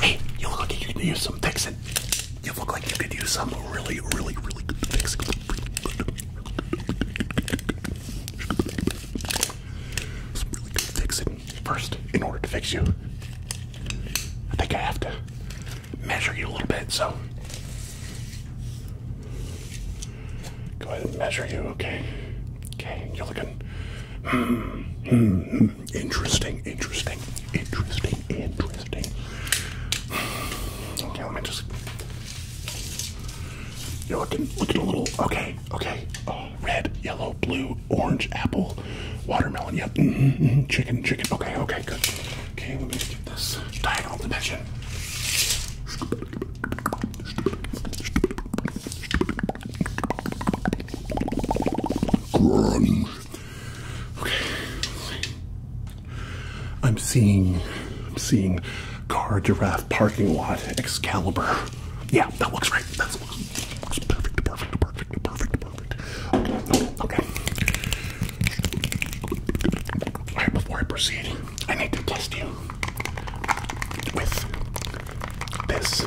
Hey, you look like you could use some fixing. You look like you could use some really, really, really good fixing. really good fixing. First, in order to fix you, I think I have to measure you a little bit, so. Go ahead and measure you, okay? Okay, you're looking Interesting, interesting, interesting, interesting. Okay, let me just. You're looking, looking a little. Okay, okay. Oh, red, yellow, blue, orange, apple, watermelon. Yep. Mm-hmm, mm-hmm. Chicken, chicken. Okay, okay, good. Okay, let me get this diagonal dimension grunge. Okay. I'm seeing, I'm seeing car giraffe parking lot Excalibur. Yeah, that looks right. That looks, looks perfect, perfect, perfect, perfect, perfect. Okay. All right, before I proceed, I need to test you with this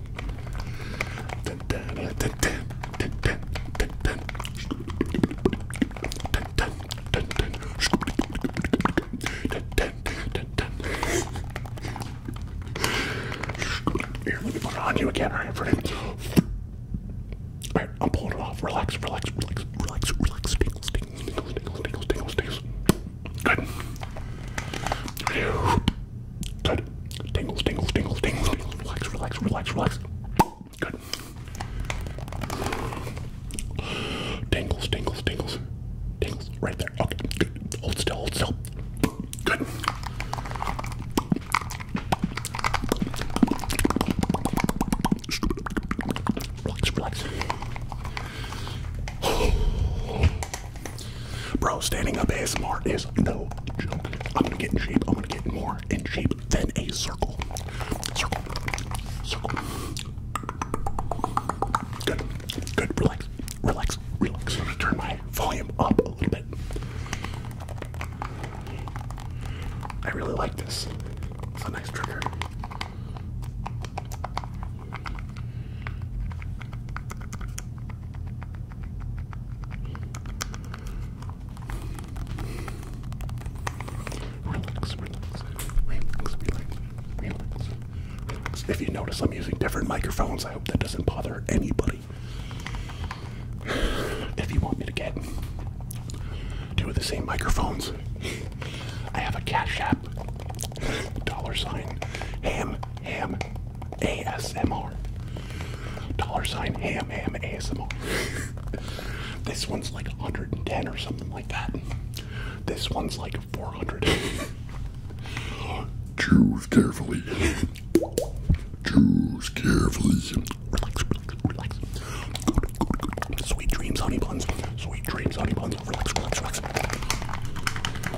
Here, let me put it on you again, alright, friend. Alright, I'm pulling it off. Relax, relax, relax, relax, relax, tingles, tingles, tingles, tingles, tingles, tingles. Good. Good. Tingles, tingles, tingles, tingles, tingles. Relax, relax, relax, relax. Good. Tingles, tingles, tingles. Tingles. Right there. Okay. Good. Hold still, hold still. Good. Relax, relax. Bro, standing up ASMR is no joke. I'm gonna get in shape. I'm gonna get more in shape than a circle. Circle. Circle. Good. Good. Relax. Relax. Relax. I'm gonna turn my volume up a little bit. I really like this. It's a nice trigger. Relax, relax, relax, relax, relax, relax. If you notice, I'm using different microphones. I hope that doesn't bother anybody. If you want me to get two of the same microphones, I have a Cash App dollar sign ham ham ASMR. Dollar sign ham ham ASMR. this one's like 110 or something like that. This one's like 400. Choose carefully. Choose carefully. Relax, relax, Sweet dreams, honey buns. Sweet dreams, honey buns. Relax, relax, relax.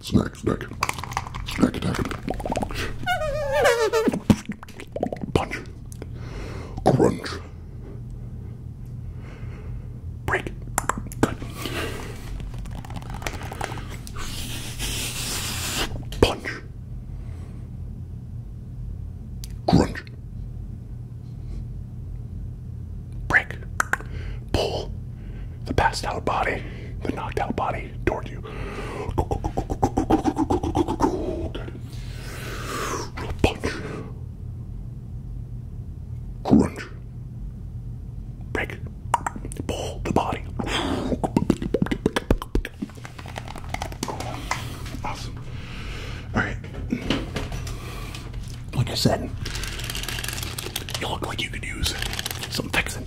snack, snack, snack, attack. Punch. Crunch. Break. Punch. Crunch. Break. Pull the passed out body, the knocked out body toward you. Good. Punch. Crunch. Break. Pull the body. Awesome. Alright. Like I said, you look like you could use some fixing.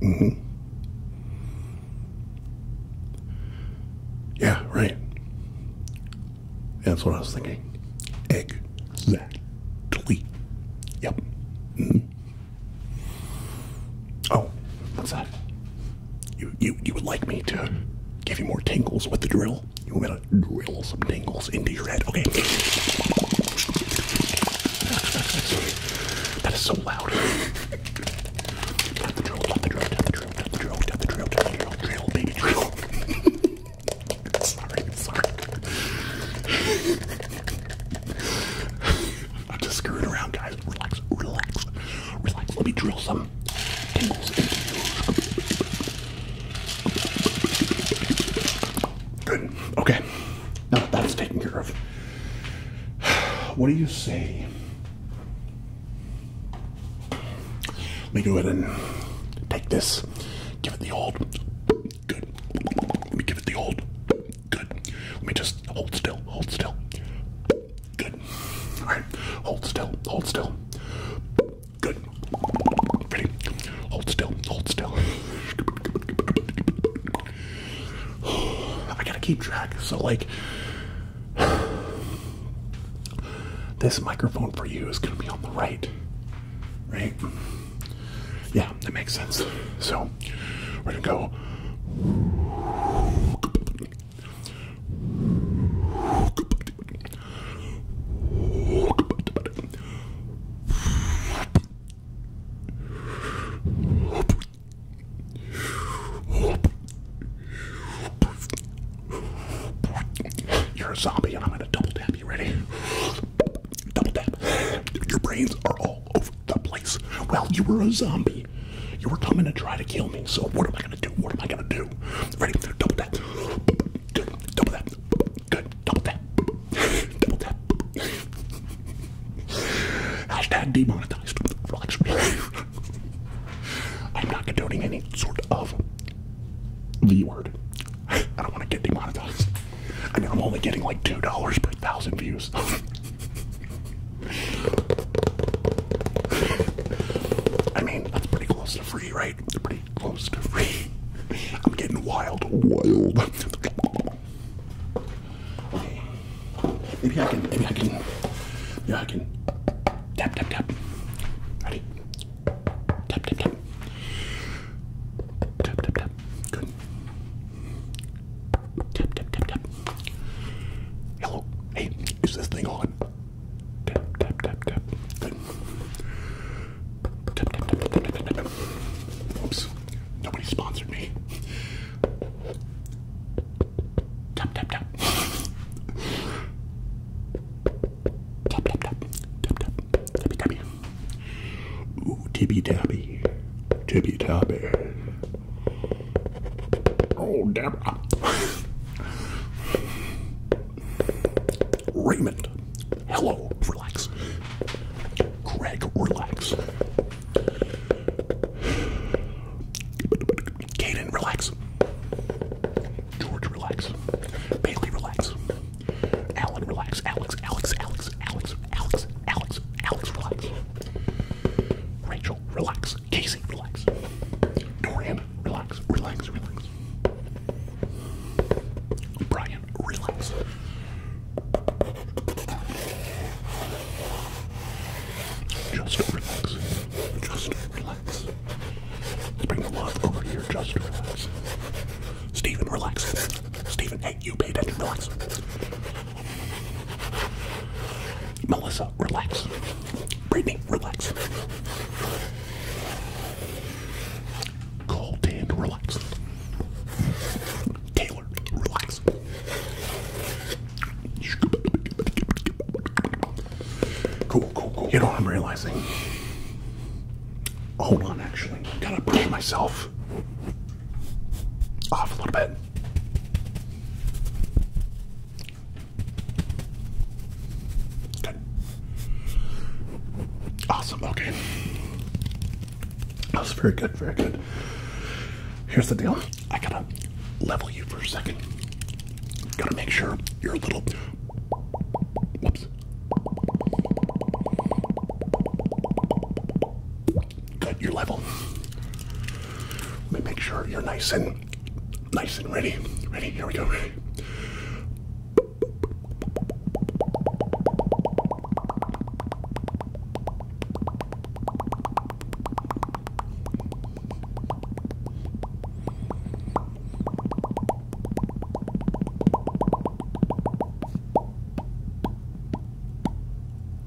Mm-hmm. Yeah, right. That's what I was thinking. Egg. tweet. Yep. Mm-hmm. Oh, what's that? You you you would like me to give you more tingles with the drill? You want me to drill some tingles into your head? Okay. that is so loud. Tap drill, drill, drill, drill, drill, drill, drill, baby drill. sorry, sorry. I'm just screwing around, guys. Relax, relax, relax. Let me drill some tingles into you. Good. Okay. Now that that's taken care of, what do you say? Let me go ahead and take this. Give it the old. Good. Let me give it the old. Good. Let me just hold still. Hold still. Good. All right. Hold still. Hold still. Good. Ready? Hold still. Hold still. I gotta keep track. So like. This microphone for you is going to be on the right, right? Yeah, that makes sense. So, Ready to go. You're a zombie, and I'm gonna double tap you. Ready? Double tap. Your brains are all over the place. Well, you were a zombie. You were coming to try to kill me. So what am I gonna do? What am I gonna do? Ready? Double tap. Double tap. Good. Double tap. Double tap. Hashtag demonetized. Relax. I'm not condoning any sort of the word. I don't want to get demonetized. I mean, I'm only getting like two dollars per thousand views. I mean, that's pretty close to free, right? It's pretty close to free. I'm getting wild, wild. Maybe I can, maybe I can, yeah, I can tap, tap, tap. Ready? Tap, tap, tap. Tap, tap, tap. Good. Tap, tap, tap, tap. Hello. Hey, is this thing on? Tap, tap, tap, tap. Good. Tap, tap, tap, tap, tap, tap, tap. Oops. Nobody sponsored me. Tap, tap, tap. Tap, tap, tap. Tap, tap. Tappy, tappy. Ooh, tippy, tappy. Tippy, tappy. Oh, Deborah. Raymond. Hello. Relax. Greg, relax. Kaden, relax. George, relax. Bailey, relax. Alan, relax. Alex, Alex, Alex, Alex, Alex, Alex, Alex, relax. Rachel, relax. Casey, relax. Dorian, relax, relax, relax. Brian, relax. Just relax. Just relax. Let's bring the love over here. Just relax. Steven, relax. Steven, hey, you paid attention. Melissa, relax. Brittany, relax. Cold and relax. Taylor, relax. Cool, cool, cool. You know what I'm realizing? Hold on, actually. Gotta push myself off a little bit. Good. Awesome. Okay. That was very good. Very good. Here's the deal. I gotta level you for a second. Gotta make sure you're a little cut your level. Let me make sure you're nice and nice and ready. Ready? Here we go.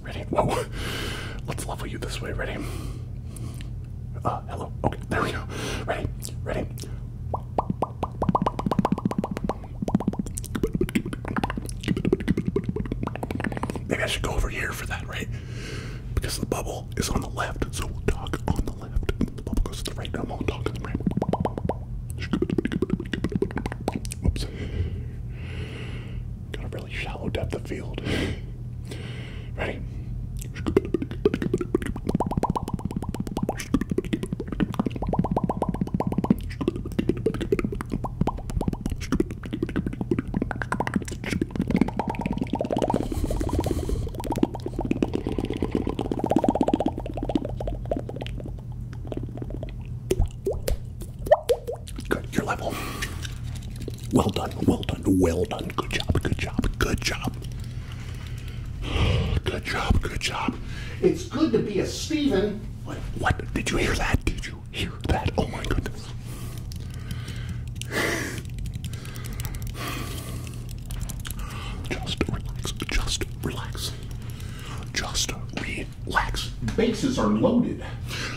Ready? Whoa. Oh, let's level you this way. Ready? Uh, hello. Okay, there we go. Ready? Ready? Maybe I should go over here for that, right? Because the bubble is on the left, so we'll talk on the left. the bubble goes to the right, I'm gonna talk on the right. Whoops. Got a really shallow depth of field. Ready? Good, your level. Well done, well done, well done. Good job, good job, good job. Good job, good job. It's good to be a Steven. What, what? Did you hear that? Did you hear that? Oh my goodness. Just relax, just relax. Just relax it Bases are loaded.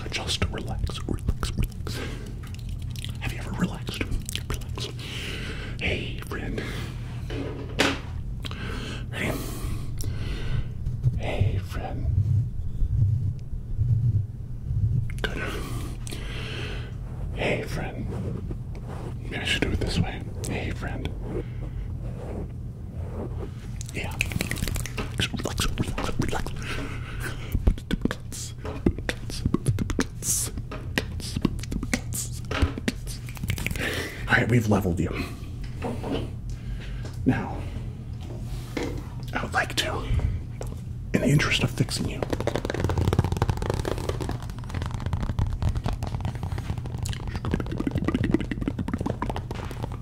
Just relax, relax, relax. Have you ever relaxed? Relax. Hey, friend. Hey. Hey, friend. Good. Hey, friend. Maybe I should do it this way. Hey, friend. Yeah. Relax, relax, relax, Alright, we've leveled you. Now, I would like to, in the interest of fixing you,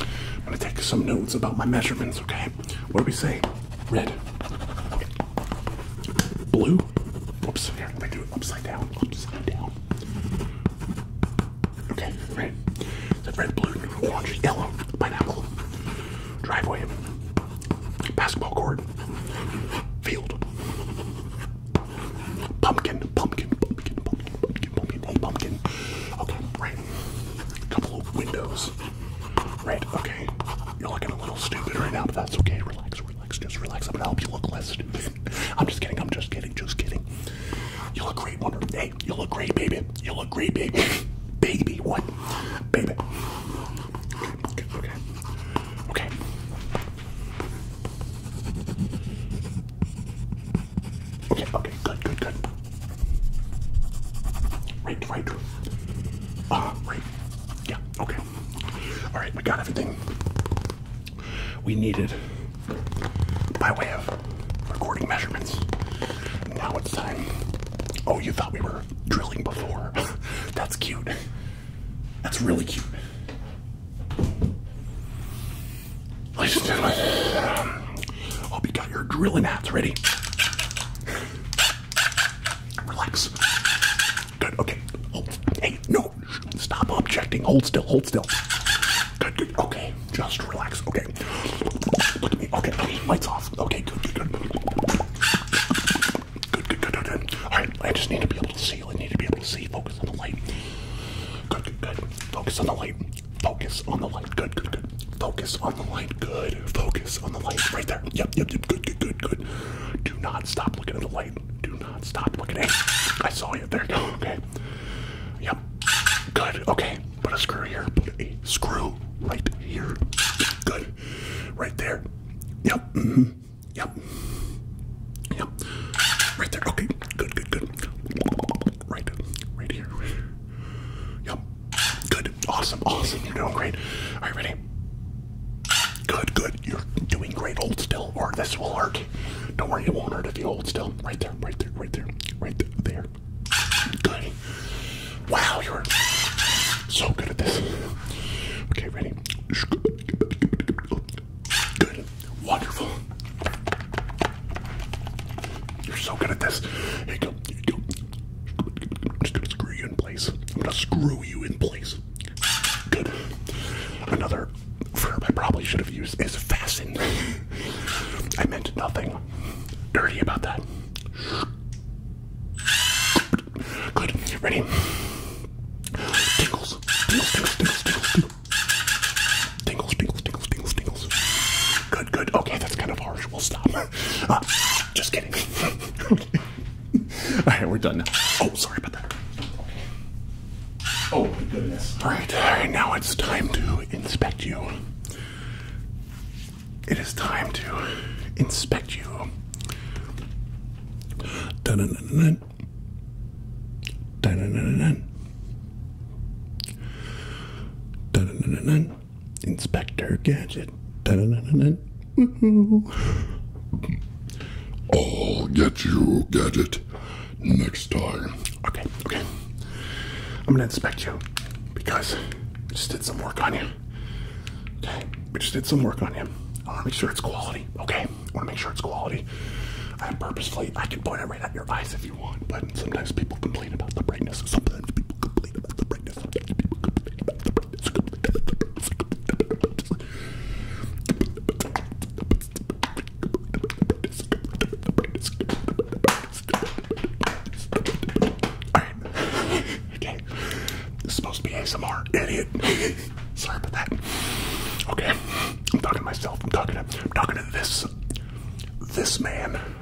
I'm gonna take some notes about my measurements, okay? What do we say? Red. Blue. Whoops, here, I'm gonna do it upside down. Upside down. Okay, right. So red, blue, orange, yellow, pineapple, driveway, basketball court, field, pumpkin, pumpkin, pumpkin, pumpkin, pumpkin, pumpkin, pumpkin. Okay, right right? A couple of windows. Right, okay. You're looking a little stupid right now, but that's okay. Relax, relax, just relax. I'm gonna help you look less I'm just kidding, I'm just kidding, just kidding. You look great, Wonder. Hey, you look great, baby. You look great, baby. baby, what? Baby. Okay. Okay, okay. Okay. Okay, okay, good, good, good. Right, right. Uh, right. Yeah, okay. Alright, we got everything we needed by way of recording measurements. Now it's time. Oh, you thought we were drilling before. That's cute. That's really cute. Ladies and gentlemen, um, Hope you got your drilling hats ready. Relax. Good, okay. Oh, hey, no. Stop objecting. Hold still, hold still. Good, good, okay. Just relax, okay. Look at me, okay, okay. Lights off. Okay, good, good, good. Good, good, good, good. All right, I just need to be able to see. I need to be able to see. Focus on the light. good, good. Focus on the light. Focus on the light. Good, good, good. Focus on the light. Good. Focus on the light. Right there. Yep, yep, yep. Good, good, good, Do not stop looking at the light. Do not stop looking at it. I saw you there. Okay. Yep. Good. Okay. Put a screw here. Put a screw right here. Good. Right there. Yep. Mm -hmm. Yep. Yep. Right there. Okay. Good, good, good right, right here. Yep. Good. Awesome. Awesome. You're doing great. All right, ready? Good. Good. You're doing great. Hold still, or this will hurt. Don't worry, it won't hurt if you hold still. Right there. Right there. Right there. Right there. Good. Wow, you're so good at this. Okay, ready? Good. Wonderful. You're so good at this. Here you go. I'm gonna screw you in place. I'm gonna screw you in place. Good. Another verb I probably should have used is fasten. I meant nothing dirty about that. Good. Ready? Tingles. Tingles, tingles, tingles, tingles, tingles. Tingles, tingles, tingles, tingles, tingles. Good good, Okay, that's kind of harsh. We'll stop. Ah, just kidding. okay. All right, we're done now. Oh, sorry about that. Oh, my goodness. All right, all right, now it's time to inspect you. It is time to inspect you. Dun -dun -dun -dun. Dun -dun -dun -dun. Dun -dun -dun -dun. Inspector Gadget. I'll get you, Gadget, next time. Okay, okay. I'm gonna inspect you because I just did some work on you. Okay, we just did some work on you. I wanna make sure it's quality, okay? I wanna make sure it's quality. I purposefully, I can point it right at your eyes if but sometimes people complain about the brightness. Sometimes people complain about the brightness. Sometimes people complain about the brightness. Alright. okay. This is supposed to be ASMR, idiot. Sorry about that. Okay. I'm talking to myself. I'm talking to I'm talking to this this man.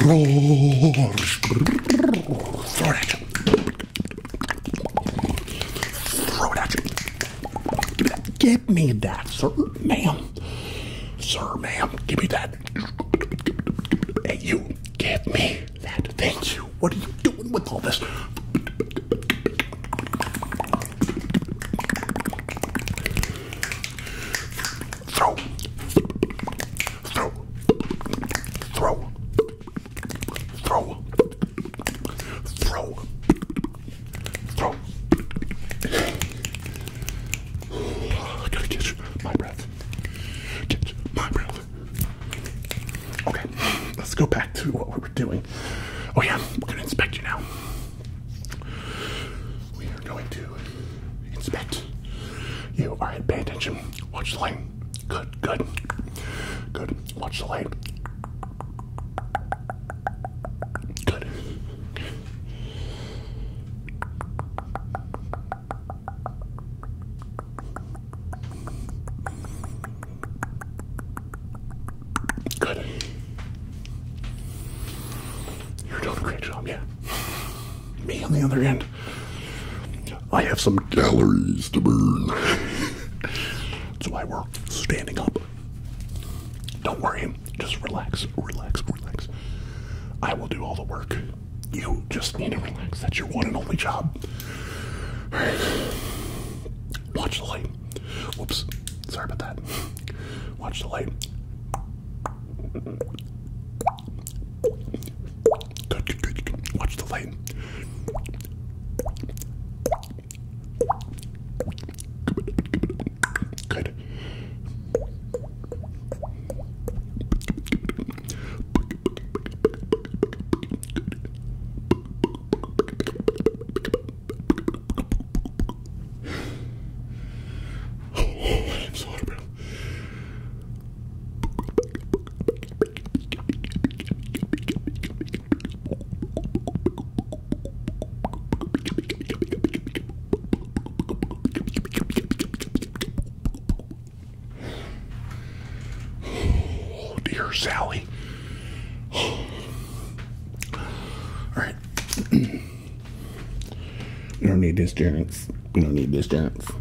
Throw it at you. Throw it at you. Give me that. Give me that, sir, ma'am. Sir, ma'am, give me that. Hey, you, give me that. Thank you. What are you doing with all this? throw, throw, throw, throw, throw, throw. I gotta catch my breath. Catch my breath. Okay, let's go back to what we were doing. Oh yeah, we're gonna inspect you now we are going to inspect you. are at pay attention. Watch the light. Good, good, good. Watch the light. Good. Good. You're doing a great job, yeah me on the other end. I have some galleries to burn. That's why we're standing up. Don't worry, just relax, relax, relax. I will do all the work. You just need to relax. That's your one and only job. Watch the light. Whoops. Sorry about that. Watch the light. Good, good, good, good. Watch the light. Good. Oh, I'm so out of breath. Oh, dear Sally. All right. we don't need this dance. We don't need this dance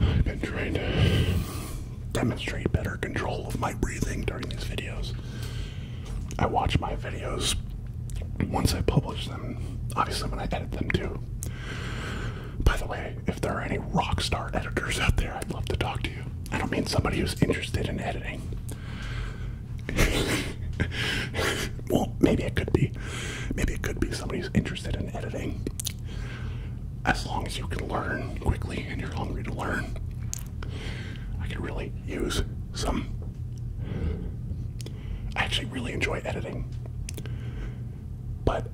I've been trying to demonstrate better control of my breathing during these videos. I watch my videos once I publish them, obviously when I edit them too. By the way, if there are any rockstar editors out there, I'd love to talk to you. I don't mean somebody who's interested in editing. well, maybe it could be. Maybe it could be somebody's interested in editing. As long as you can learn quickly and you're hungry to learn, I could really use some. I actually really enjoy editing, but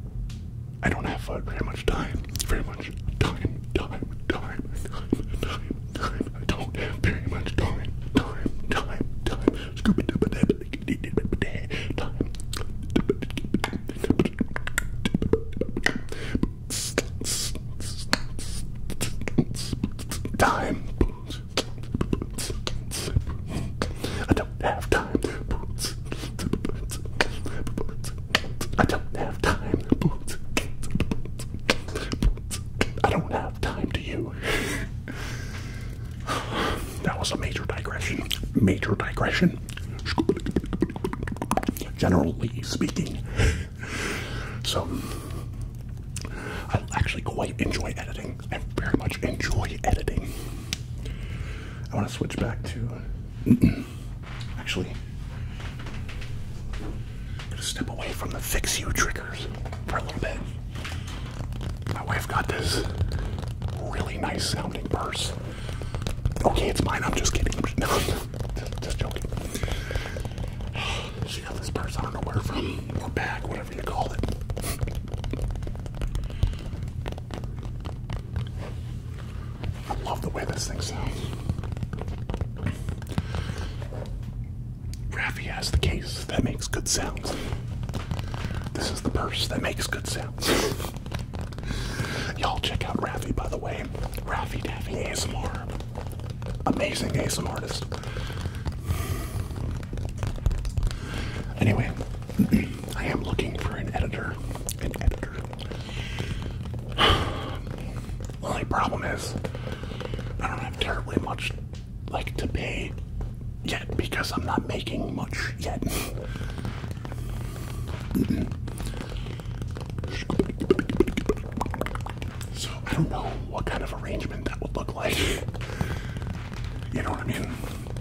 I don't have very much time. Very much time, time, time, time, time, time, I don't have very much time. Time, time, time. Scoop it up time. Time. I don't have time. I don't have time. I don't have time to you. That was a major digression. Major digression. Generally speaking. So, I actually quite enjoy editing. I very much enjoy editing. I want to switch back to. actually, i to step away from the fix you triggers for a little bit. My wife got this really nice sounding purse. Okay, it's mine. I'm just kidding. No, just joking. She got this purse. I don't know where from or bag, whatever you call it. I love the way this thing sounds. Raffy has the case that makes good sounds. This is the purse that makes good sounds. Y'all check out Raffy, by the way. Raffy Daffy ASMR. Amazing ASMR artist. Anyway, I am looking for an editor. An editor. My problem is, I don't have terribly much like to pay yet because I'm not making much yet. so I don't know what kind of arrangement that would look like. You know what I mean?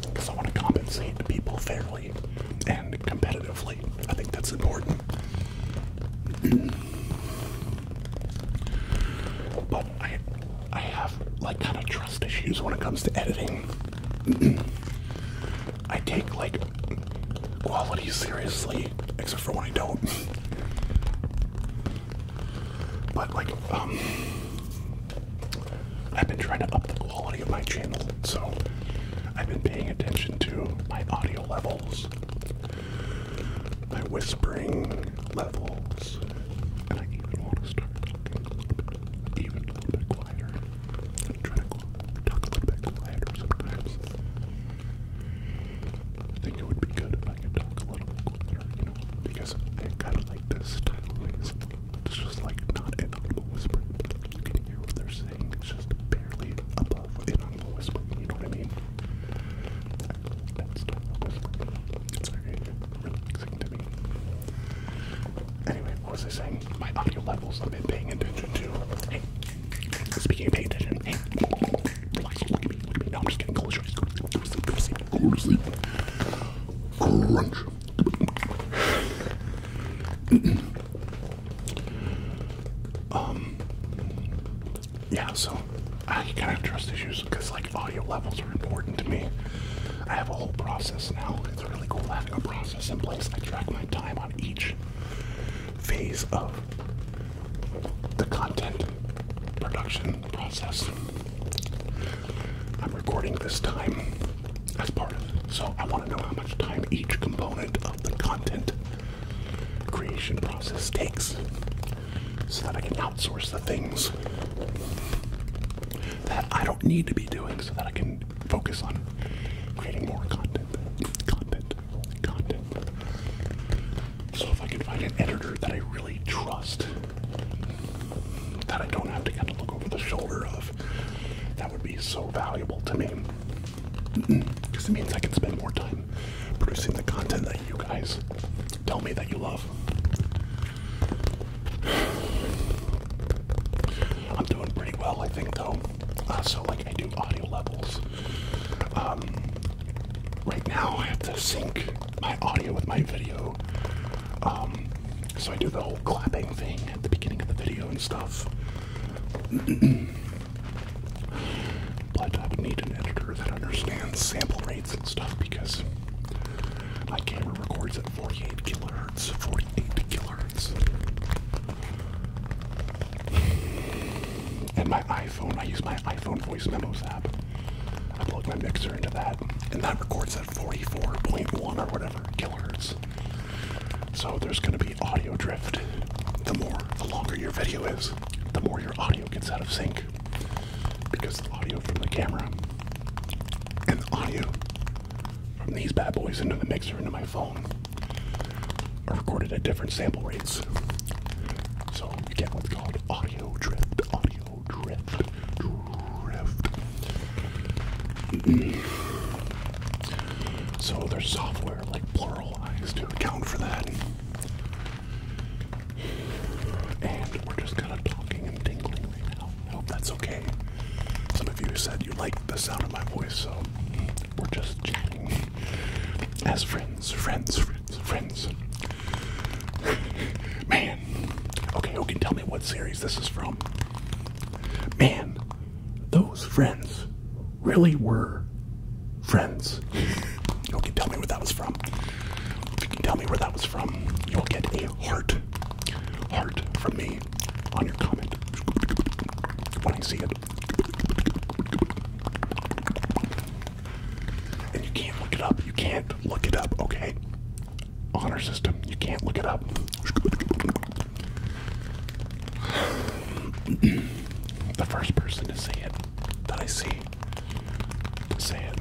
Because I want to compensate the people fairly and competitively. I think that's important. I I have like kind of trust issues when it comes to editing. I take like quality seriously, except for when I don't. but like um I've been trying to up the quality of my channel, so I've been paying attention to my audio levels my whispering levels. And I even want to start talking a little bit, even a little bit quieter. I'm trying to talk a little bit quieter sometimes. I think it would be good if I could talk a little bit quieter, because I kind of like this style noise. It's just like not audible whisper. You can hear what they're saying. It's just barely above an audible whisper. You know what I mean? Anyway, what was I saying? My audio levels I've been paying attention to. Hey, speaking of paying attention, hey, look at me, look at me. No, I'm just getting Close your eyes. Go to sleep, go to sleep, Crunch. Um, yeah, so I kind of trust issues because like audio levels are important to me. I have a whole process now. It's really cool having a process in place. I track my time on each phase of the content production process. I'm recording this time as part So I want to know how much time each component of the content creation process takes so that I can outsource the things that I don't need to be doing so that I can focus on creating more content. Content. Content. So if I can find an editor that I really trust, that I don't have to kind of look over the shoulder of, that would be so valuable to me. Because it means I can spend more time producing the content that you guys tell me that you love. I'm doing pretty well, I think, though. Also, uh, like, I do audio levels. Um, right now, I have to sync my audio with my video. Um, so, I do the whole clapping thing at the beginning of the video and stuff. but I need an editor that understands sample rate and stuff because my camera records at 48 kilohertz, 48 kilohertz. And my iPhone, I use my iPhone voice memos app. I plug my mixer into that, and that records at 44.1 or whatever kilohertz. So there's going to be audio drift. The more, the longer your video is, the more your audio gets out of sync because the audio from the camera and the audio from these bad boys into the mixer into my phone are recorded at different sample rates. So you get what's called audio drift, audio drift, drift. so there's software like pluralized to account for that. And we're just kind of talking and tingling right now. I hope that's okay. Some of you said you liked the sound of my voice, so we're just chatting as friends, friends, friends, friends. Man, okay, who can tell me what series this is from? Man, those friends really were friends you can tell me where that was from. you can tell me where that was from, you'll get a heart, heart from me on your comment when I see it. And you can't look it up. You can't look it up, okay? Honor system. You can't look it up. the first person to see it that I see Say it.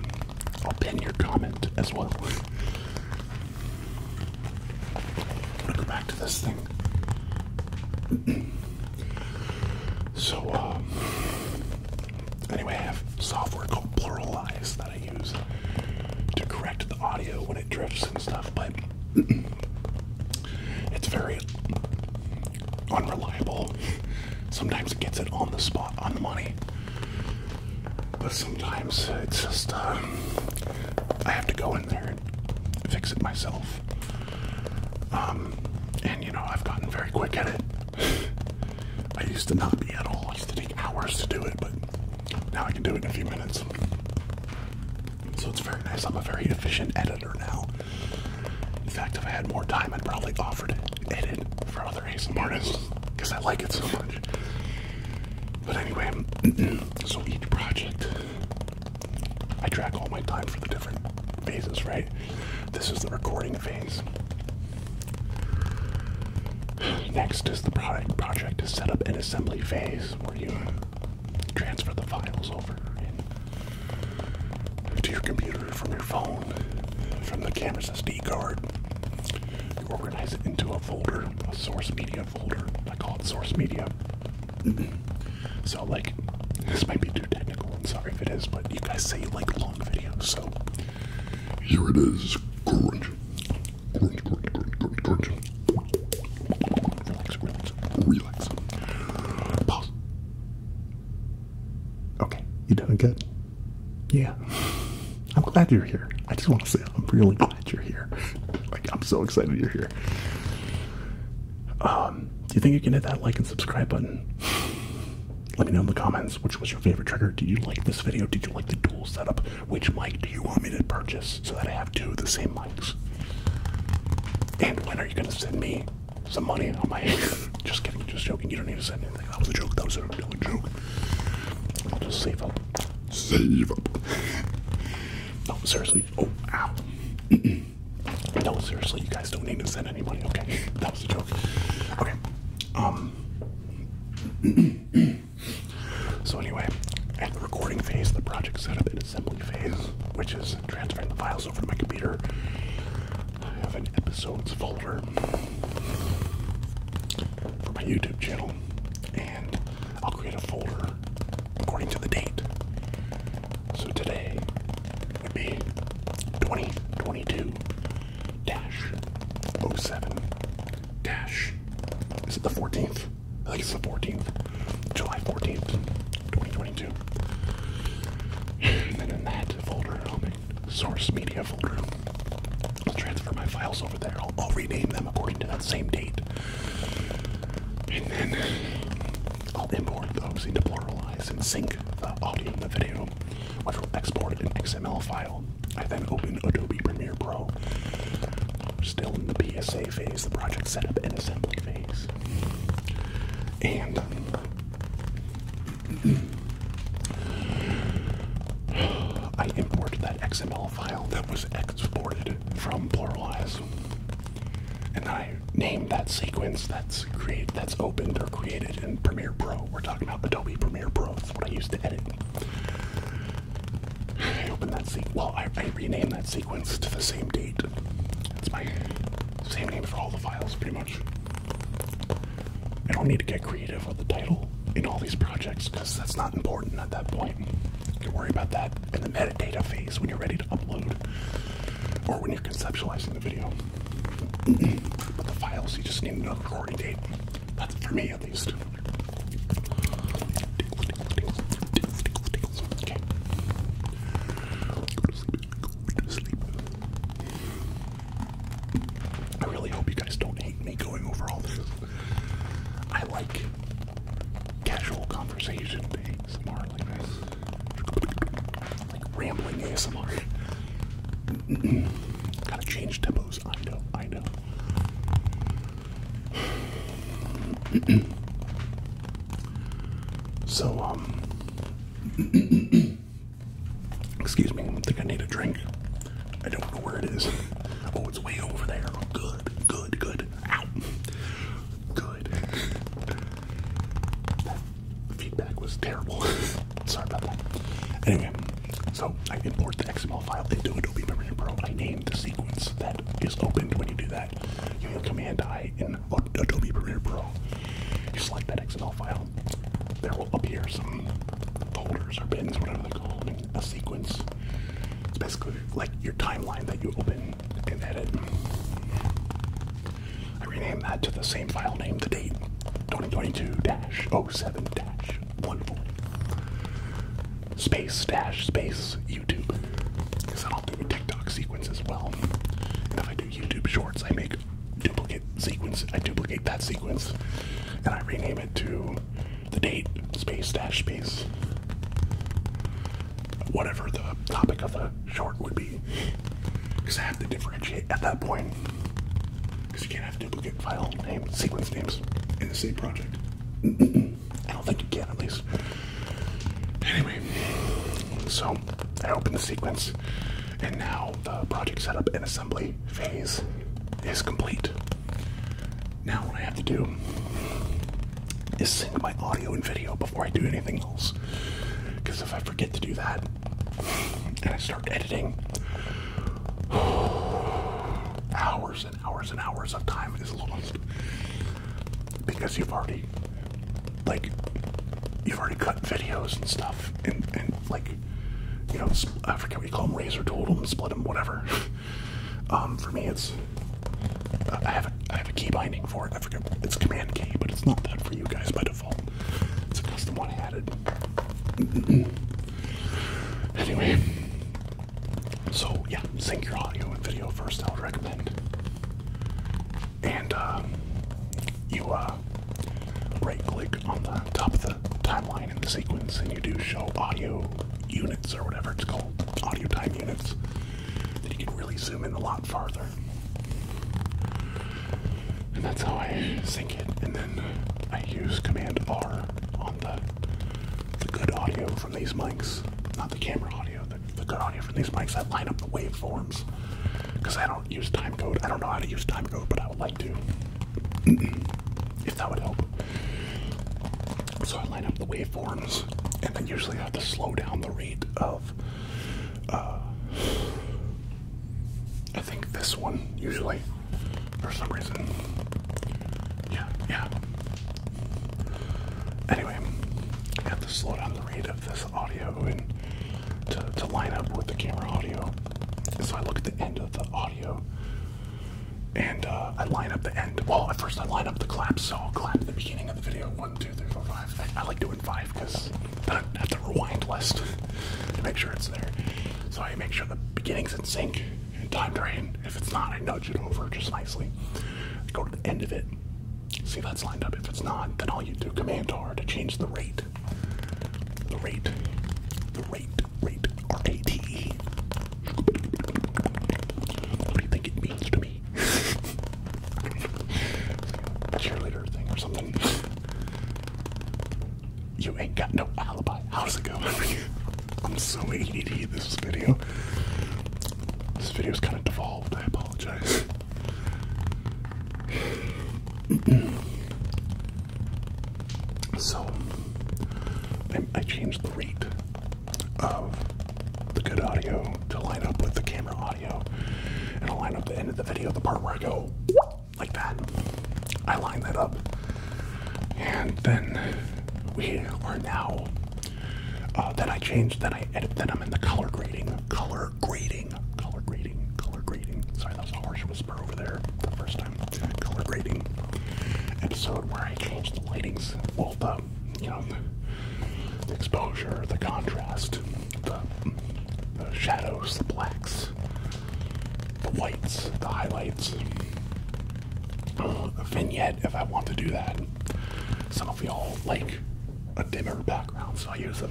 I'll pin your comment as well. I'm go back to this thing. so, um, anyway, I have software called Pluralize that I use to correct the audio when it drifts and stuff, but it's very unreliable. Sometimes it gets it on the spot, on the money. But sometimes it's just, uh, I have to go in there and fix it myself. Um, and you know, I've gotten very quick at it. I used to not be at all. I used to take hours to do it, but now I can do it in a few minutes. So it's very nice. I'm a very efficient editor now. In fact, if I had more time, I'd probably offered it edit for other artists because I like it so much. But anyway, so each project, I track all my time for the different phases, right? This is the recording phase. Next is the product project to set up an assembly phase where you transfer the files over to your computer from your phone, from the camera's SD card. You organize it into a folder, a source media folder. I call it source media. so, like, this might be too technical. I'm sorry if it is, but you guys say you like long videos, so here it is. Relax, Okay, you doing good? yeah, I'm glad you're here. I just want to say I'm really glad you're here. like I'm so excited you're here. Um, do you think you can hit that like and subscribe button? Let me know in the comments which was your favorite trigger. Did you like this video? Did you like the dual setup? Which mic do you want me to purchase so that I have two of the same mics? And when are you going to send me some money on my just kidding, just joking. You don't need to send anything. That was a joke. That was a, that was joke. I'll just save up. Save up. no, seriously. Oh, wow. no, seriously, you guys don't need to send any money. Okay, that was a joke. Okay. Um. so anyway, at the recording phase, the project setup and assembly phase, which is transferring the files over to my computer. I have an episodes folder for my YouTube channel, and I'll create a folder according to the date. So today would be 2022 dash 07 dash. Is it the 14th? I think it's the 14th. July 14th, 2022. And in that folder, I'll make source media folder. I'll transfer my files over there. I'll, rename them according to that same date. And then I'll import those into Pluralize and sync the audio and the video, which will export an XML file. I then open Adobe Premiere Pro. Still in the PSA phase, the project setup and assembly phase. And I import that XML file that was exported from Pluralize. And I name that sequence that's created, that's opened or created in Premiere Pro. We're talking about Adobe Premiere Pro. That's what I used to edit. I opened that sequence. Well, I, I renamed that sequence to the same date. That's my same name for all the files, pretty much. I don't need to get creative with the title in all these projects because that's not important at that point. You can worry about that in the metadata phase when you're ready to upload or when you're conceptualizing the video. but the files, you just need another recording date. That's for me at least. I really hope you guys don't hate me going over all this. I like casual conversation ASMR like rambling ASMR. Gotta change tempos, I know, I know. so, um. Excuse me, I think I need a drink. I don't know where it is. Oh, it's way over there. Good, good, good. Ow. Good. That feedback was terrible. Sorry about that. Anyway, so I import the XML file into Adobe Premiere Pro. I name the sequence that is opened when you do that. You hit Command I in Adobe Premiere Pro. You select that XML file there will appear some folders or pins, whatever they're called, in a sequence. It's basically like your timeline that you open and edit. I rename that to the same file name, the date 2022 7 one Space dash space YouTube. Because I'll do TikTok sequence as well. YouTube Shorts, I make duplicate sequence. I duplicate that sequence, and I rename it to the date space dash space, whatever the topic of the short would be, because I have to differentiate at that point. Because you can't have duplicate file name sequence names in the same project. I don't think you can, at least. Anyway, so I open the sequence and now the project setup and assembly phase is complete. Now what I have to do is sync my audio and video before I do anything else. Because if I forget to do that and I start editing, hours and hours and hours of time is lost because you've already like you've already cut videos and stuff and, and like you know, I forget what you call them, razor tool them, split them, whatever. Um, for me, it's I have a, I have a key binding for it. I forget it's command K, but it's not that for you guys by default. It's a custom one I added. anyway, so yeah, sync your audio and video first. I would recommend, and uh, you uh, right click on the top of the timeline in the sequence and you do show audio units or whatever it's called, audio time units, then you can really zoom in a lot farther. And that's how I sync it. And then I use Command R on the, good audio from these mics, not the camera audio, the good audio from these mics that line up the waveforms because I don't use timecode. I don't know how to use timecode, but I would like to. if that would help. So I line up the waveforms, and then usually I have to slow down the rate of. Uh, I think this one usually, for some reason. Yeah, yeah. Anyway, I have to slow down the rate of this audio and to, line up with the camera audio. So I look at the end of the audio and uh, I line up the end. Well, at first I line up the claps, so I'll clap at the beginning of the video. One, two, three, four, five. I, I like doing five because I have to rewind less to make sure it's there. So I make sure the beginning's in sync and time drain. If it's not, I nudge it over just nicely. go to the end of it. See if that's lined up. If it's not, then all you do command R to change the rate rate. The rate. The rate. Rate. R A T E. What do you think it means to me? Cheerleader thing or something. You ain't got no alibi. How does it go? I'm so ADD this video. This video's kind of devolved. I apologize. so I, change the rate of the good audio to line up with the camera audio, and i line up the end of the video, the part where I go like that. I line that up, and then we are now. Uh, that I changed. that I edit. that I'm in the color grading. Color grading color grading, color grading. Sorry, that was a harsh whisper over there the first time. Color grading episode where I change the lightings, well, the, you know, the exposure, the contrast, the, shadows, the blacks, the whites, the highlights. a vignette if I want to do that. Some of y'all like a dimmer background, so I use a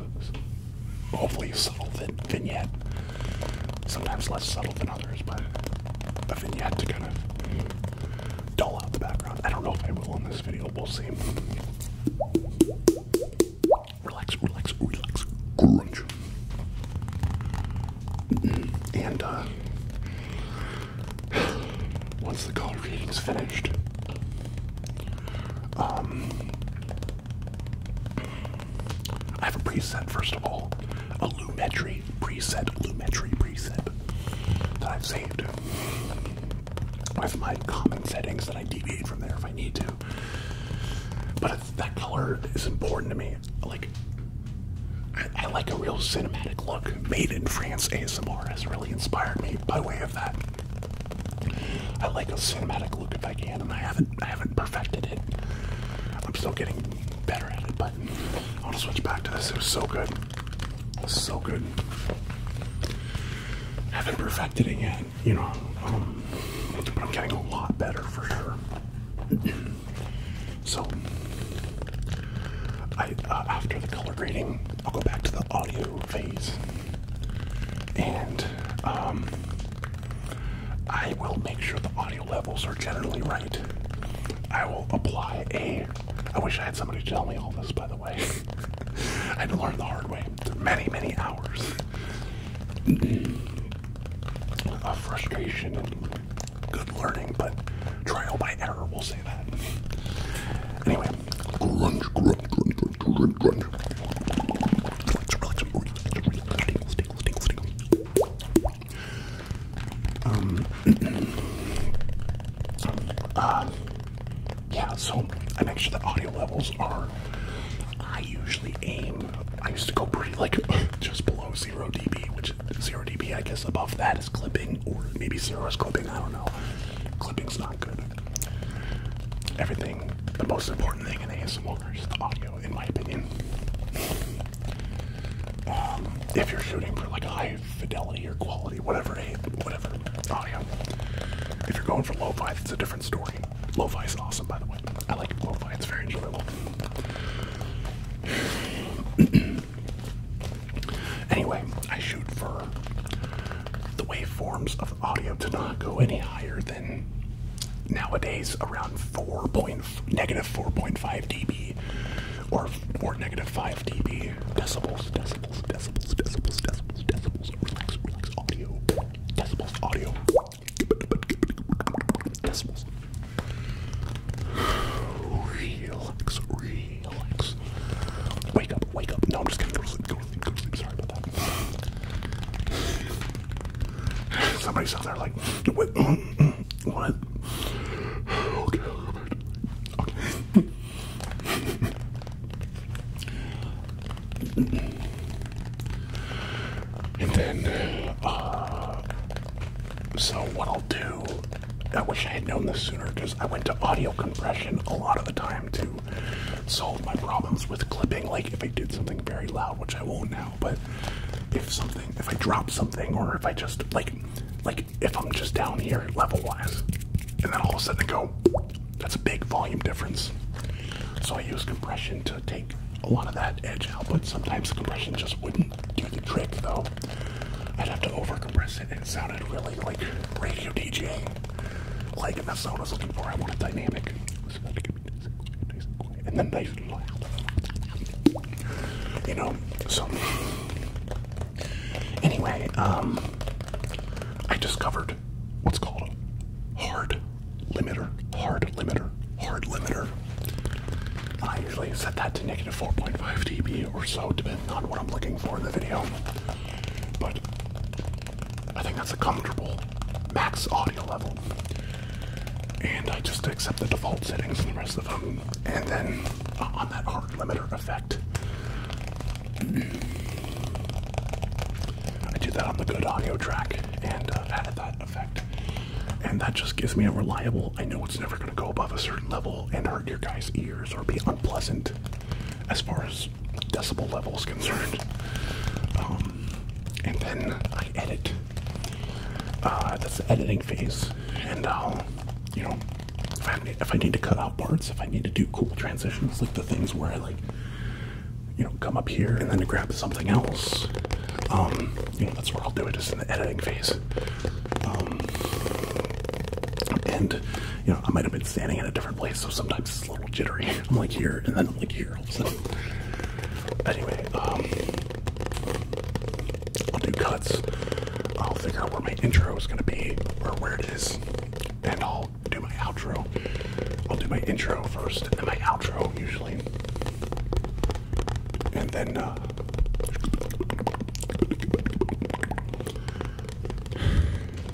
hopefully a subtle vin vignette. Sometimes less subtle than others, but a vignette to kind of dull out the background. I don't know if I will in this video. We'll see. Relax, relax, relax, Grunge. Mm-hmm. And uh, once the color reading's finished, um, I have a preset, first of all, a Lumetri preset, Lumetri preset that I've saved with my common settings that I deviate from there if I need to. But that color is important to me. Like, I, I like a real cinematic look. Made in France ASMR has really inspired me by way of that. I like a cinematic look if I can, and I haven't I haven't perfected it. I'm still getting better at it, but I want to switch back to this. It was so good. It was so good. I haven't perfected it yet, you know. Um, but I'm getting a lot better for sure. so I uh, after the color grading, I'll go back to the audio phase. And um, I will make sure the audio levels are generally right. I will apply a. I wish I had somebody tell me all this, by the way. I had to learn the hard way. Many, many hours of frustration good learning, but trial by error, we'll say that. Anyway, grunge, grunge, grunge, um, uh, yeah, so I make sure the audio levels are. I usually aim. I used to go pretty like just below zero dB, which zero dB, I guess above that is clipping, or maybe zero is clipping. I don't know. Clipping's not good. Everything, the most important thing in ASMR over's the audio, in my opinion. Um, if you're shooting for like high fidelity or quality, whatever, whatever audio. If you're going for lo-fi, it's a different story. Lo-fi is awesome, by the way. I like lo-fi; it's very enjoyable. anyway, I shoot for the waveforms of audio to not go any higher than nowadays around 4 point, negative 4.5 dB or or negative 5 dB decibels decibels decibels decibels decibels decibels relax relax audio decibels audio decibels relax relax wake up wake up no I'm just gonna go to sleep go to sleep go to sleep sorry about that Somebody's out there like, mm, mm, what? and then, uh, so what I'll do, I wish I had known this sooner because I went to audio compression a lot of the time too solve my problems with clipping. Like if I did something very loud, which I won't now, but if something, if I drop something, or if I just like, like if I'm just down here level wise, and then all of a sudden I go, that's a big volume difference. So I use compression to take a lot of that edge out, but sometimes compression just wouldn't do the trick though. I'd have to over compress it, and it sounded really like radio DJ, Like, and that's what I was looking for. I want a dynamic and then they and loud. You know, so anyway, um, I discovered what's called a hard limiter, hard limiter, hard limiter. I usually set that to negative 4.5 dB or so, depending on what I'm looking for in the video. But I think that's a comfortable max audio level. And I just accept the default settings and the rest of them. And then uh, on that hard limiter effect, I do that on the good audio track and uh, added that effect. And that just gives me a reliable, I know it's never going to go above a certain level and hurt your guys' ears or be unpleasant as far as decibel level is concerned. Um, and then I edit. Uh, that's the editing phase, and I'll, you know, if I, need to cut out parts, if I need to do cool transitions, like the things where I like, you know, come up here and then grab something else, um, you know, that's what I'll do it, is in the editing phase. Um, and you know, I might have been standing in a different place, so sometimes little jittery. I'm like here, and then I'm like here all of a sudden. Anyway, um, I'll do cuts. I'll figure out where my intro is gonna be, or where it is, and I'll do my outro. I'll do my intro first, and then my outro usually, and then. Uh,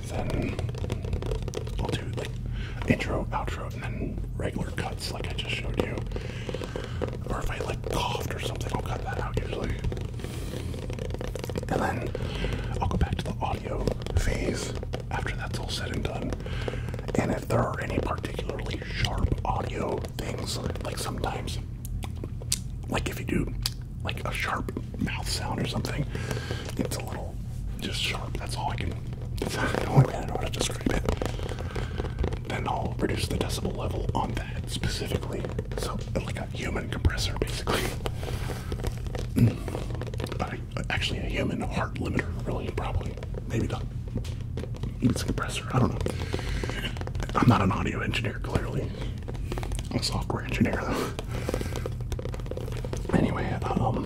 then like intro, outro, and then regular cuts like I just showed you. Or if I like coughed or something, I'll cut that out usually. And then I'll go back to the audio phase after that's all said and done. And if there are any particularly sharp audio things, like sometimes, like if you do like a sharp mouth sound or something, it's a little just sharp. That's all I can it's the only way I know how to describe it. Then I'll reduce the decibel level on that specifically. So, like a human compressor, basically. Mm. actually, a human heart limiter, really, probably. Maybe the, It's a compressor, I don't know. I'm not an audio engineer, clearly. I'm a software engineer, though. Anyway, um,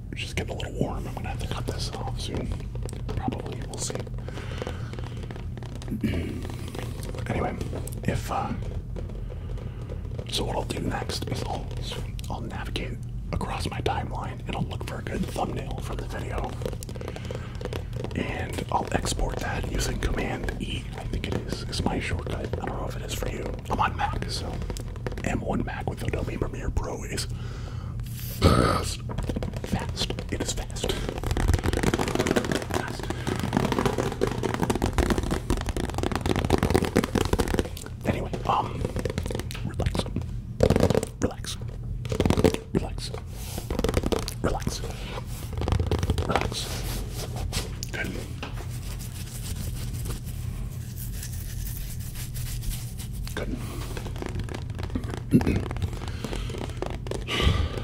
It's just getting a little warm. I'm gonna have to cut this off soon. Probably, we'll see. anyway, if uh, so, what I'll do next is I'll I'll navigate across my timeline and I'll look for a good thumbnail for the video, and I'll export that using Command E. I think it is is my shortcut. I don't know if it is for you. I'm on Mac, so M1 Mac with Adobe Premiere Pro is fast. Fast. It is fast. fast. Anyway, um, relax. Relax. Relax. Relax. Relax. Good and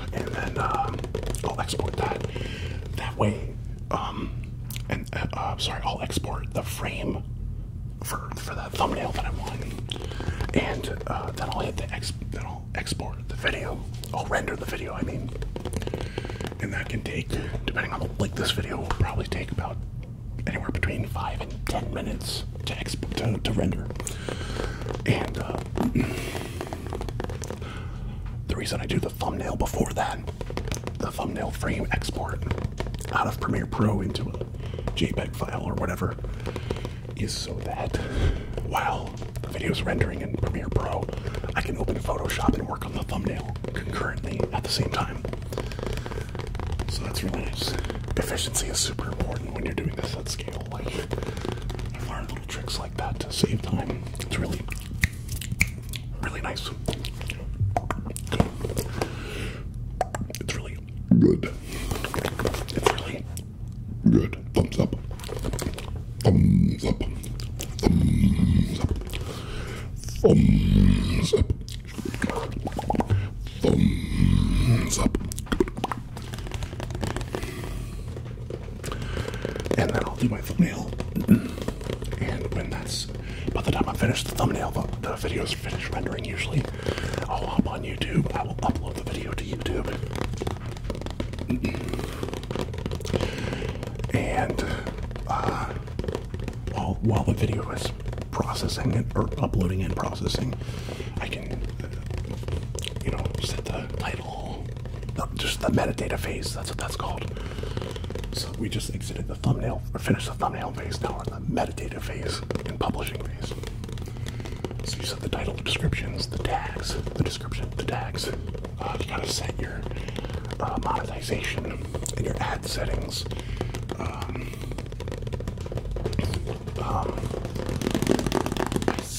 then uh, I'll export that. That way, um, and uh, uh, sorry, I'll export the frame for for that thumbnail that I am want, and then I'll hit the ex. Then I'll export the video. I'll render the video. I mean, and that can take, depending on the like, this video will probably take about anywhere between five and ten minutes to exp to, render. And uh, the reason I do the thumbnail before that, the thumbnail frame export out of Premiere Pro into a JPEG file or whatever, is so that while the video is rendering in Premiere Pro, I can open Photoshop and work on the thumbnail concurrently at the same time. So that's really nice. Efficiency is super important when you're doing this at scale. Like, you learn little tricks like that to save time. It's really, really nice. It's really good. It's really good. Thumbs up. Thumbs up. Thumbs up. Thumbs up thumbs up. And then I'll do my thumbnail. And when that's, by the time I finish the thumbnail, the, the video is finished rendering usually. I'll hop on YouTube. I will upload the video to YouTube. And uh, while while the video is processing it or uploading and processing, I can you know set the title, just the metadata phase. That's what that's called. So we just exited the thumbnail or finished the thumbnail phase. Now we're in the metadata phase and publishing phase. So you set the title, the descriptions, the tags, the description, the tags. Uh, you gotta set your uh, monetization in your ad settings. Um, um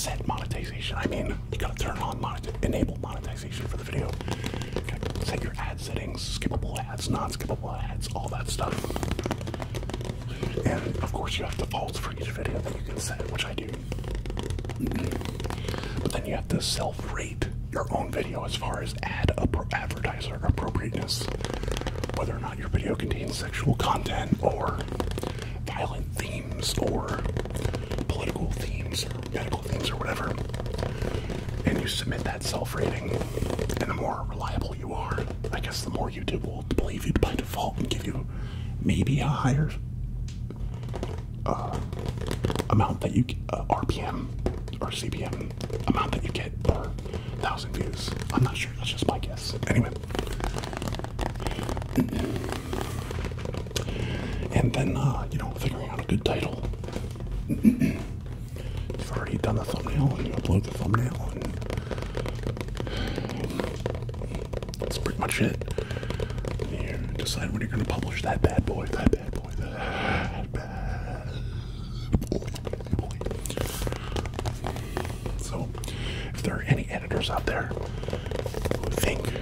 I monetization. I mean, you gotta turn on monetization, enable monetization for the video. You gotta set your ad settings, skippable ads, non-skippable ads, all that stuff. And of course, you have defaults for each video that you can set, which I do. But then you have to self-rate your own video as far as ad advertiser appropriateness, whether or not your video contains sexual content or violent themes or political themes or medical themes or whatever, and you submit that self-rating, and the more reliable you are, I guess the more YouTube will believe you by default and give you maybe a higher uh, amount that you uh, RPM or CPM amount that you get per thousand views. I'm not sure. That's just my guess. Anyway. And then, uh, you know, figuring out a good title. You've already done the thumbnail and you upload the thumbnail, that's pretty much it. You decide when you're going to publish that bad boy, that bad boy, that bad boy. So, if there are any editors out there who think,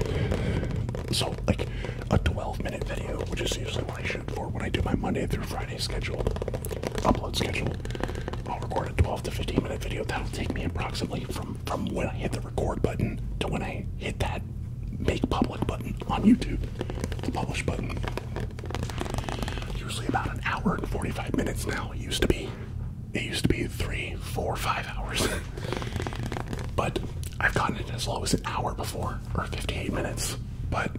so like a 12 minute video, which is usually what I shoot for when I do my Monday through Friday schedule, upload schedule, I'll record a 12 to 15 minute video. That'll take me approximately from, from when I hit the record button to when I hit that make public button on YouTube, the publish button. Usually about an hour and 45 minutes now. It used to be, it used to be three, four, five hours. but I've gotten it as low as an hour before, or 58 minutes. But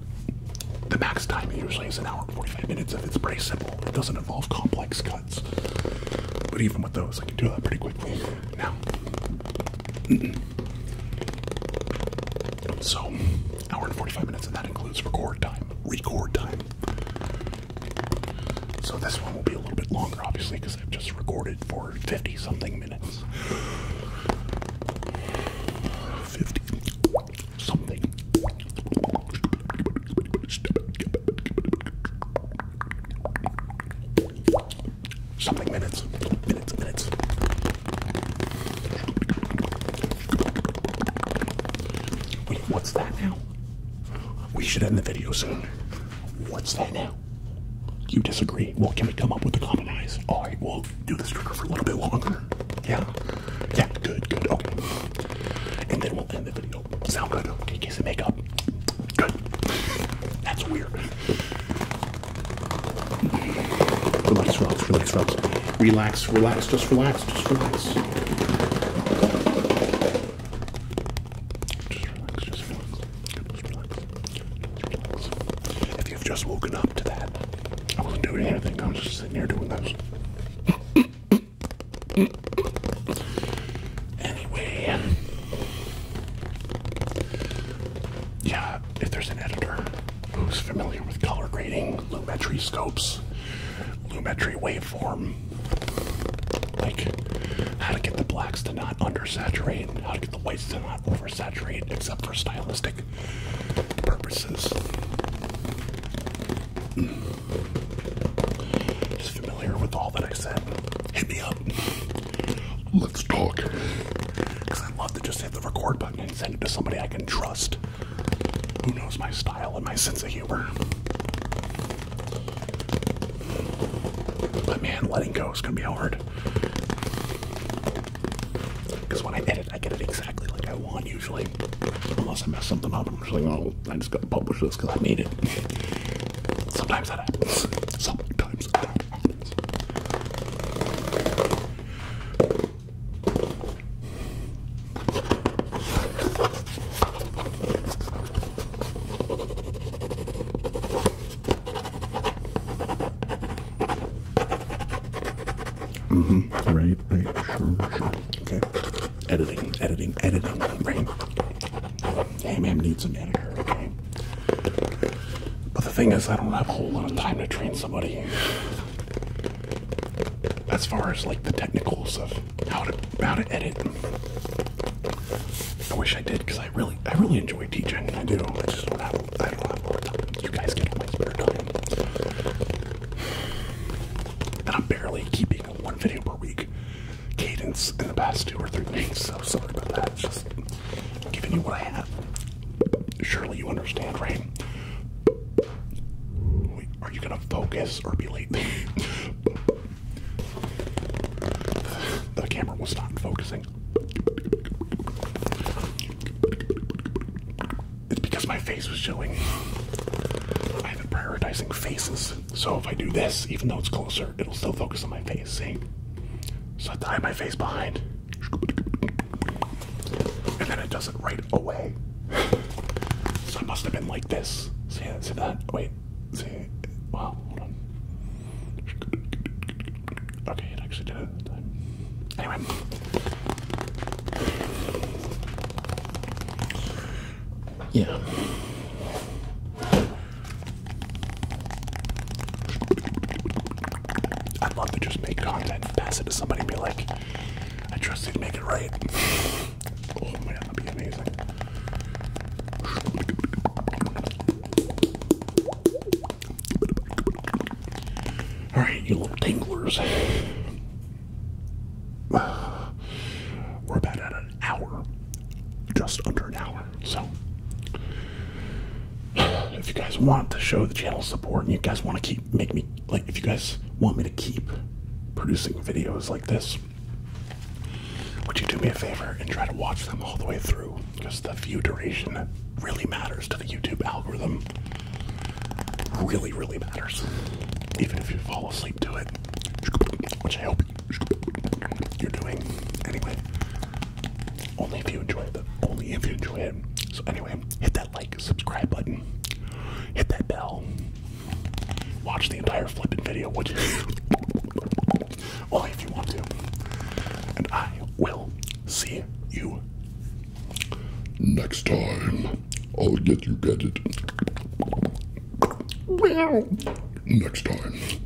the max time usually is an hour and 45 minutes if it's pretty simple. It doesn't involve complex cuts. But even with those, I can do that pretty quickly now. so hour and 45 minutes, and that includes record time. Record time. So this one will be a little bit longer, obviously, because I've just recorded for 50 something minutes. 50 something. Something minutes. Minutes, minutes. Wait, what's that now? We should end the video soon. What's that now? You disagree? Well, can we come up with a compromise? All right, we'll do this trigger for a little bit longer. Yeah, yeah, good, good, okay. And then we'll end the video. Sound good? Okay, kiss and make up. Good. That's weird. Relax, relax, relax, relax. Relax, relax, just relax, just relax. Just relax, just relax. If you've just woken up to that, I was doing everything. I am just sitting here doing this. Anyway, yeah, if there's an editor who's familiar with color grading, lumetri scopes, lumetri waveform, like how to get the blacks to not undersaturate, and how to get the whites to not oversaturate, except for stylistic purposes. Just hmm. familiar with all that I said. Hit me up. Let's talk. Because i love to just hit the record button and send it to somebody I can trust who knows my style and my sense of humor. But man, letting go is going to be hard. Because when I edit, I get it exactly like I want usually. Unless I mess something up, I'm just like, oh, I just got to publish this because I made it. Sometimes that happens. Sometimes that happens. Mm-hmm. Right, right, sure, sure. Okay. Editing, editing, editing, right. Hey man needs an editor, okay? But the thing is I don't have a whole lot of time to train somebody as far as like the technicals of how to how to edit. I wish I did because I really I really enjoy teaching. I do. I just don't have I don't have more time. You guys get all my spare time. And I'm barely keeping one video per week cadence in the past two or three weeks, so sorry about that. It's just giving you what I have. Surely you understand, right? are you gonna focus or be late? the camera was not focusing. It's because my face was showing. I've been prioritizing faces, so if I do this, even though it's closer, it'll still focus on my face. See? So I hide my face behind. And then it does it right away. So I must have been like this. See, that? Wait. See? Wow, Okay, it actually did it. Anyway. Yeah. I'd love to just make content, pass it to somebody, and be like, I trust you to make it right. oh man, that'd be amazing. Alright, you little tinglers. We're about at an hour. Just under an hour. So if you guys want to show the channel support and you guys want to keep make me like if you guys want me to keep producing videos like this would you do me a favor and try to watch them all the way through because the view duration really matters to the youtube algorithm really really matters even if you fall asleep to it which i hope you're doing anyway only if you enjoy it only if you enjoy it so anyway hit that like subscribe button, hit that bell, watch the entire flipping video, which well if you want to. And I will see you next time. I'll get you get it. Next time.